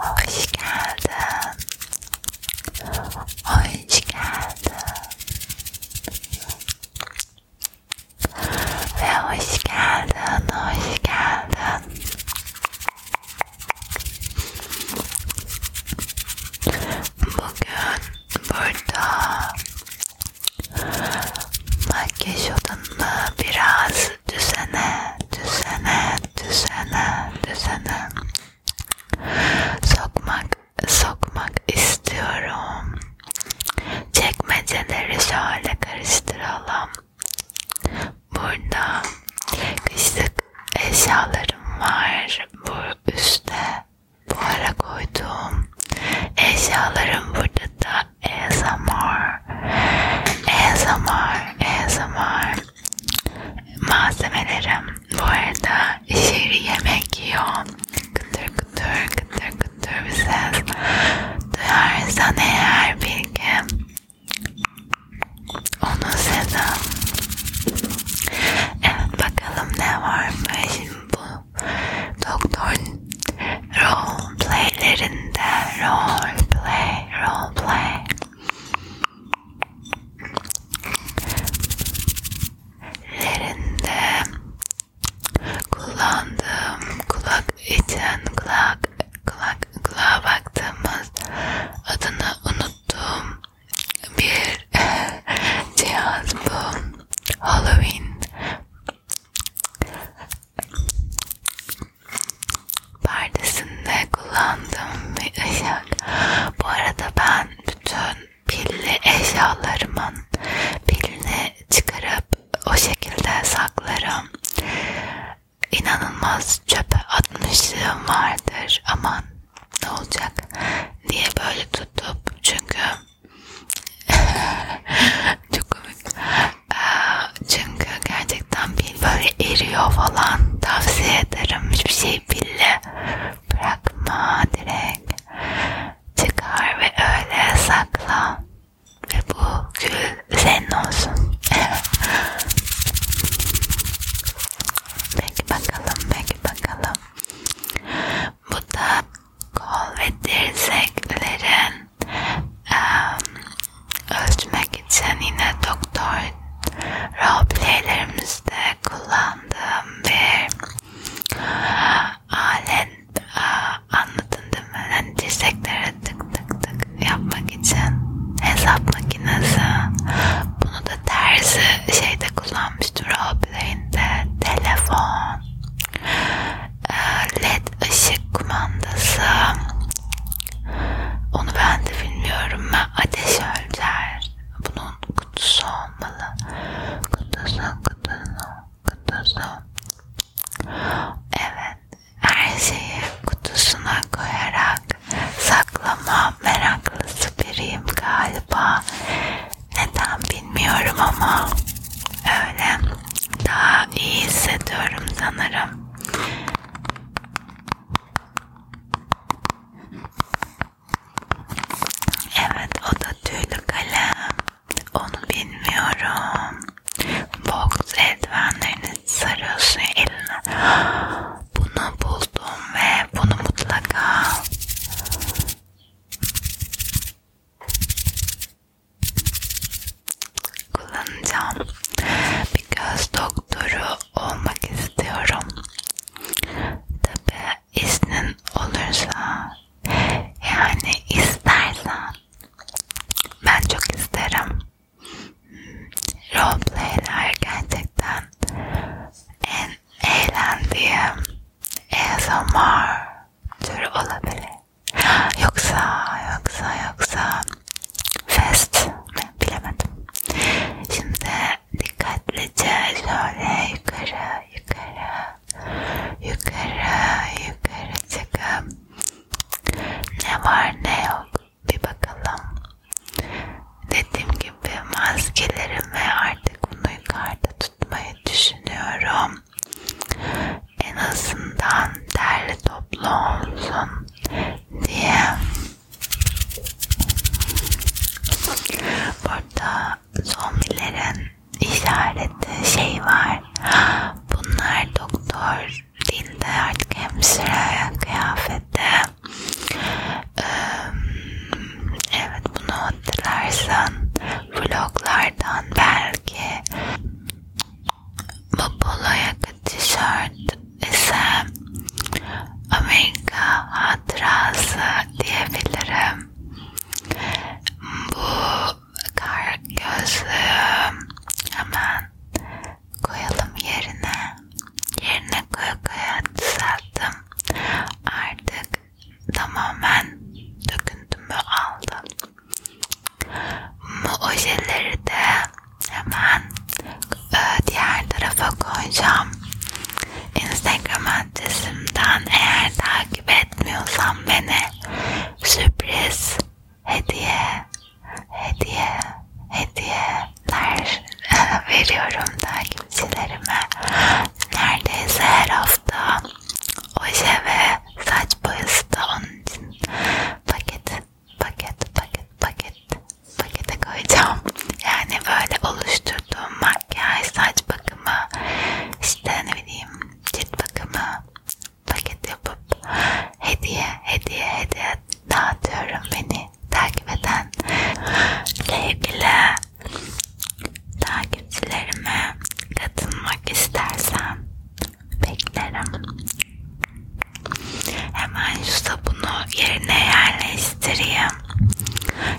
Hoş geldin. Hoş geldin. Ve hoş geldin, hoş geldin. Bugün burada makyaj odamda biraz Düzene, düzene, düzene, düzene. Sokmak, sokmak istiyorum. Çekmeceleri şöyle karıştıralım. Burada kışlık eşyalarım var. Bu üstte buhara koyduğum eşyalarım burada da ASMR. ASMR, ASMR malzemelerim bu arada şehri yemek yiyor kıtır kıtır kıtır kıtır bir ses duyarsan eğer bilgi onun sesi evet bakalım ne varmış bu doktor roleplaylerinde roleplay roleplay lerinde kullandığım kulak için kulak kulak kulağa baktığımız adını unuttum bir cihaz bu Halloween perdesinde kullandığım bir ışık. Bu arada ben bütün pilli eşyalarımın pilini çıkarıp o şekilde saklarım. İnanılmaz çöpe atmışlığım vardır. Aman ne olacak diye böyle tutup çünkü çok komik. Çünkü gerçekten pil böyle eriyor falan. Tavsiye ederim. Hiçbir şey pille bırakma direkt. Çıkar ve öyle sakla. Ve bu gül senin olsun. peki bakalım, peki bakalım. Bu da kol ve dirseklerin ölçmek için yine doktor roleplaylerimizde kullandığım bir alet anladın değil mi? Yani dirseklere tık tık tık yapmak için hesap makinesi bunu da tersi şeyde kullanmıştım roleplayinde telefon ee, led ışık kumandası onu ben de bilmiyorum ben ateş ölçer bunun kutusu olmalı kutusu kutusu kutusu evet her şeyi kutusuna koyarak saklama meraklısı biriyim galiba neden bilmiyorum ama öyle daha iyi hissediyorum sanırım Evet o da tüylü kalem. Onu bilmiyorum. Box eldivenlerini sarıyorsun eline. Bunu buldum ve bunu mutlaka kullanacağım. Bir göz doktoru olmak istiyorum. Tabi iznin olursa yani istersen ben çok isterim. Roleplayler gerçekten en eğlendiğim ASMR türü olabilir. Yoksa yoksa yoksa fest mi bilemedim. Şimdi dikkatlice şöyle yukarı yukarı yukarı yukarı çıkıp ne var ne yok bir bakalım. Dediğim gibi maskelerimi artık bunu yukarıda tutmayı düşünüyorum en azından derli toplu olsun diye. Burada zombilerin işareti şey var. Bunlar doktor dinde artık hemşire kıyafette. Ee, evet bunu hatırlarsan vloglardan belki bu polo yaka tişört ise Amerika hatırası diyebilirim. Bu kar gözlüğü hemen koyalım yerine. Yerine koya koya düzelttim. Artık tamamen döküntümü aldım. Bu ojeleri de hemen e, diğer tarafa koyacağım. Instagram adresimden eğer takip etmiyorsan beni sürpriz hediye hediye hediyeler veriyorum takipçilerime. Neredeyse her hafta oje ve saç boyası da onun için paket paket paket paket pakete koyacağım. Yani böyle oluşturduğum makyaj, saç bakımı, işte ne bileyim cilt bakımı paket yapıp hediye hediye hediye dağıtıyorum beni takip eden sevgili takipçilerime katılmak istersen Beklerim. Hemen şu sabunu yerine yerleştireyim.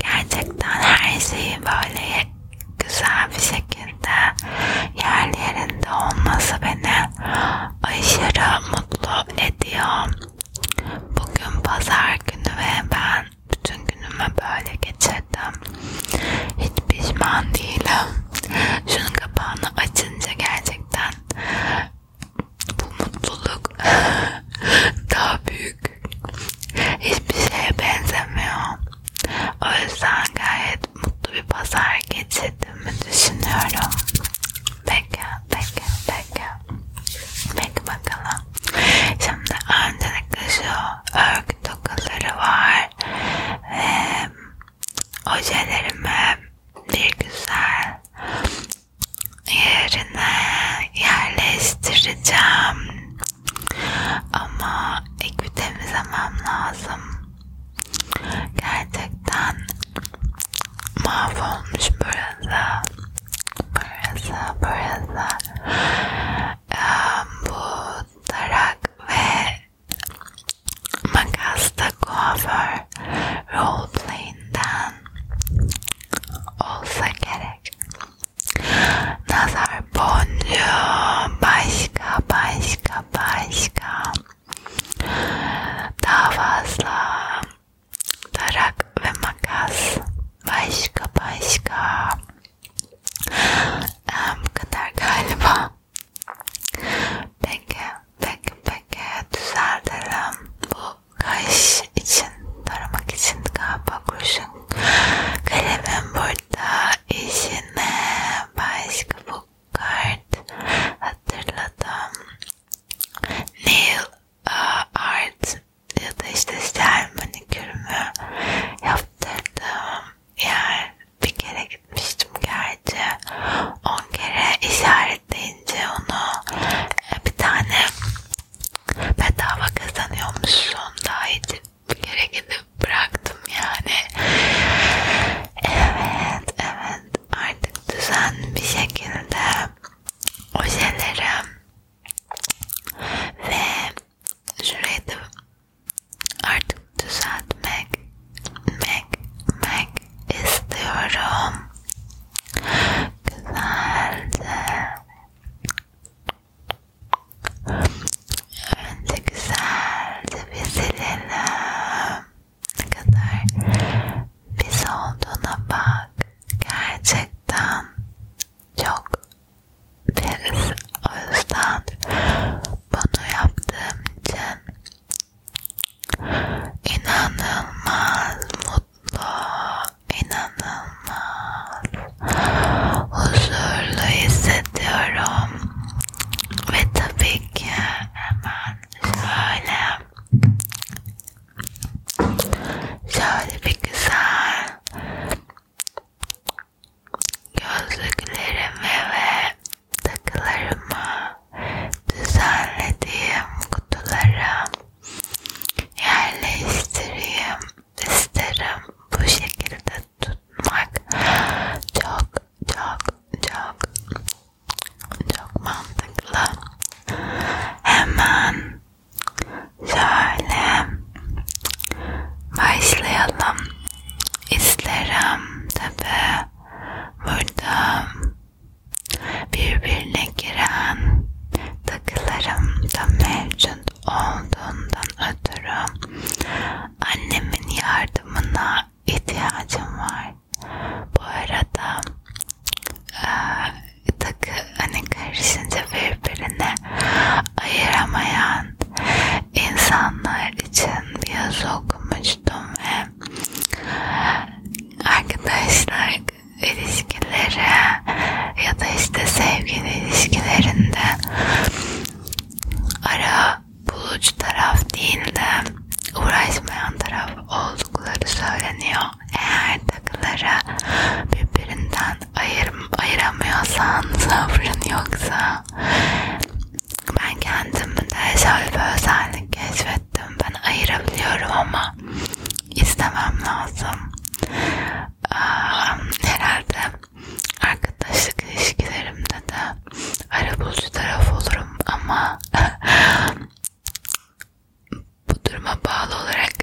Gerçekten her şeyi böyle güzel bir şekilde yerli yerinde olması beni aşırı mutlu ediyor. Bugün pazar günü ve ben bütün günümü böyle geçirdim. Hiç pişman değilim. Şunun kapağını açınca gerçekten bu mutluluk daha büyük. Hiçbir şeye benzemiyor. O yüzden gayet mutlu bir pazar geçirdiğimi düşünüyorum. Peki, peki, peki. Peki bakalım. Şimdi öncelikle şu örgü Takı tokaları var. Ve ojelerimi bir güzel yerine yerleştireceğim. Ama ekvi temizlemem lazım. Gerçekten mahvolmuş burası. Burası, burası. Um, bu tarak ve makasta kuaför roleplay'inden olsa gerek. Nazar boncuğu başka başka başka daha fazla tarak ve makas başka başka ee, bu kadar galiba. Peki, peki, peki. Düzeltirim. Bu kaş için, taramak için galiba kurşun. Kalemim burada. İşine başka bu kart hatırladım. Nail uh, art ya da işte sel manikürümü yaptırdım yani bir kere gitmiştim gerçi. 10 kere işaretleyince onu e, bir tane bedava kazanıyormuşsun. Daha iyi bir kere gidip bıraktım yani. Evet, evet. Artık düzenli bir şekilde ojelerim ve şurayı da artık düzeltmek mek, mek istiyorum güzelce önce güzelce bir silelim ne kadar pis olduğuna bak gerçekten çok deriz. O yüzden bunu yaptığım için inanılmaz mutlu, inanılmaz huzurlu hissediyorum. Ve tabii ki hemen şöyle şöyle bir güzel gözlüklerimi ve takılarımı düzenlediğim kutulara yerleştireyim isterim. Bu şekilde tutmak çok çok çok çok mantıklı. Hemen Şöyle başlayalım. İsterim tabi burada birbirine giren takılarım da mevcut olduğundan ötürü annemin yardımına ihtiyacım var. Bu arada e, takı hani karşısında birbirine ayıramayan insanlar için bir yazı okumuştum ve arkadaşlar ilişkileri ya da işte sevgili ilişkilerinde ara bulucu taraf değil de uğraşmayan taraf oldukları söyleniyor. Eğer takıları birbirinden ayır, ayıramıyorsan sabrın yoksa ben kendimde şöyle bir özellik keşfettim ben ayırabiliyorum ama istemem lazım ee, herhalde arkadaşlık ilişkilerimde de arabulucu taraf olurum ama bu duruma bağlı olarak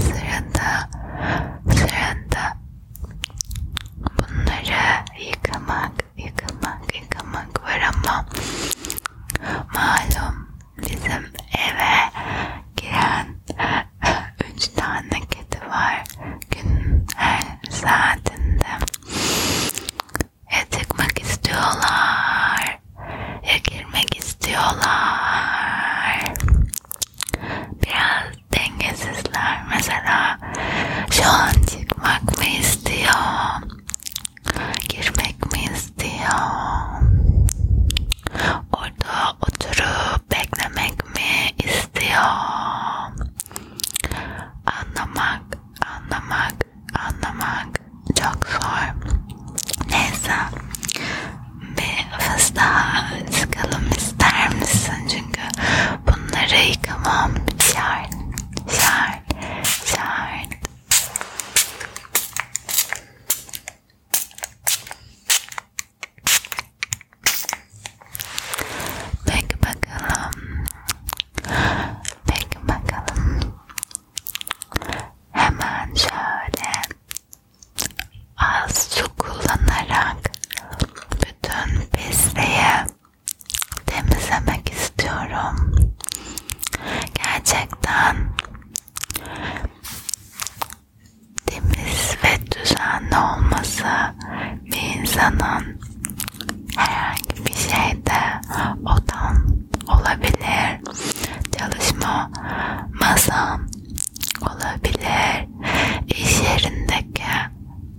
Sırada, sırada bunları yıkamak, yıkamak, yıkamak var ama malum bizim eve giren üç tane kedi var gün her saatinde ya çıkmak istiyorlar ya girmek istiyorlar biraz dengesizler mesela şu an çıkmak mı istiyor girmek mi istiyor orada oturup beklemek mi istiyor anlamak anlamak anlamak çok zor. Neyse bir fıstığa sıkalım ister misin? Çünkü bunları yıkamam şart, şart, şart. Peki bakalım. Peki bakalım. Hemen şöyle az su kullanarak bütün pisliği temizlemek istiyorum. Gerçekten temiz ve düzenli olması bir insanın herhangi bir şeyde odan olabilir. Çalışma masam olabilir. İş yerindeki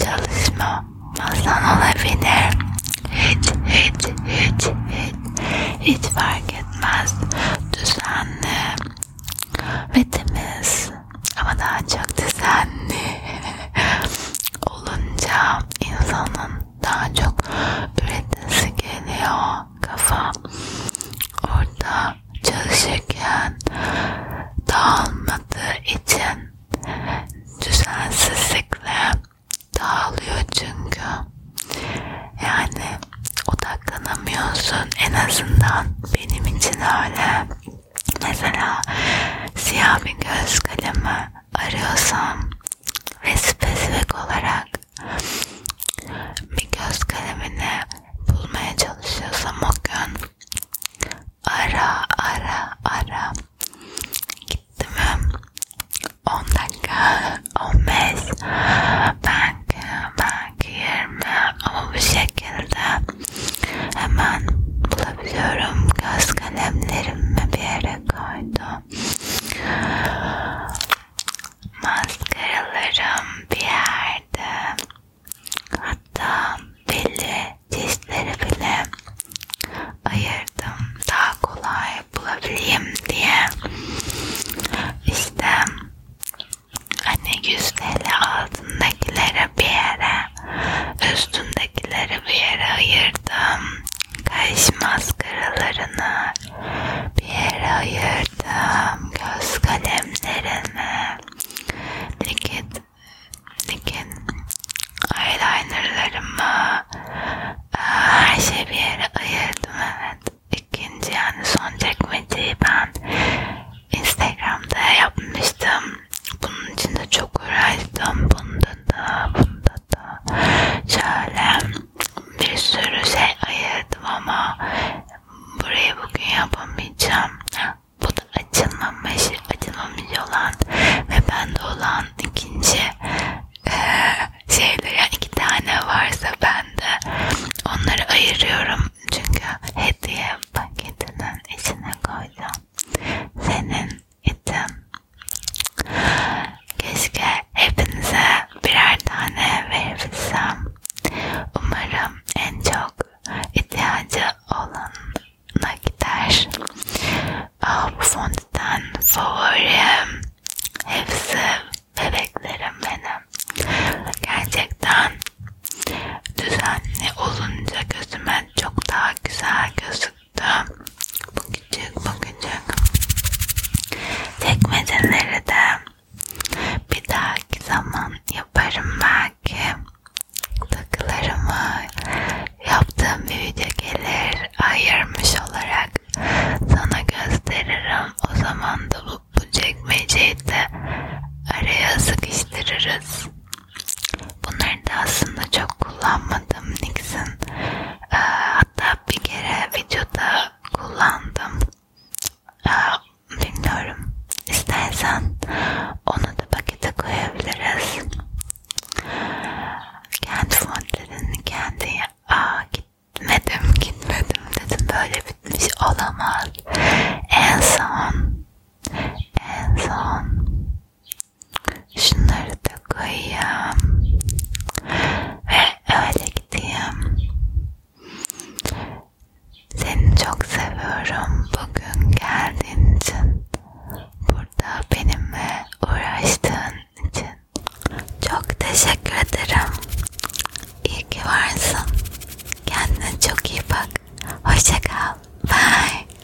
çalışma masan olabilir. Hiç hiç hiç hiç hiç fark etmez. Düzenli ve temiz ama daha çok düzenli olunca insanın daha çok üretmesi geliyor kafa orada çalışırken dağılmadığı için düzensizlikle dağılıyor çünkü yani odaklanamıyorsun en azından benim için öyle mesela siyah bir göz kalemi arıyorsam ve spesifik olarak bir göz kalemini bulmaya çalışıyorsam o gün ara ara ara gitti mi 10 dakika 15 belki belki 20 ama bu şekilde hemen bulabiliyorum göz kalemlerimi bir yere koydum Maskaralarım bir yerde. Hatta belli çeşitleri bile ayırdım daha kolay bulabileyim diye. İşte hani yüzdeli altındakileri bir yere, üstündekileri bir yere ayırdım. Kaş maskaralarını bir yere ayırdım. Göz kalemlerini. Dikit, dikit eyelinerlarımı. E, her şeyi bir yere ayırdım evet. İkinci yani son çekmeceyi ben Instagram'da yapmıştım. Bunun için de çok uğraştım. Bunu da da bunda da şöyle bir sürü şey ayırdım ama burayı bugün yapamayacağım. Bu da açılmamış, açılmamış olan ve bende olan ikinci e, şeyler yani iki tane varsa bende onları ayırıyorum çünkü hediye paketinin içine koyacağım senin için. Keşke hepinize birer tane verebilsem. Umarım en çok ihtiyacı olanına gider. Ah, bu fondüten favorim. Hepsi bebeklerim benim. Gerçekten düzenli olunca gözüme çok daha güzel gözüküyor çıktı. Bakacak bakacak. Çekmeceleri de bir dahaki zaman yaparım belki. Takılarımı yaptığım bir video gelir ayırmış olarak sana gösteririm. O zaman da bu, bu çekmeceyi de araya sıkıştırırız. Bunları da aslında çok kullanmadım Nixon. Ee, hatta bir kere videoda kullandım. Ee, bilmiyorum. İstersen onu da pakete koyabiliriz. Kendi fontlarını kendi Aa, gitmedim gitmedim dedim böyle bitmiş olamaz. En son en son Şunları da koyayım. Ve öyle gideyim. Seni çok seviyorum. Bugün geldiğin için. Burada benimle uğraştığın için. Çok teşekkür ederim. İyi ki varsın. Kendine çok iyi bak. Hoşça kal. Bye.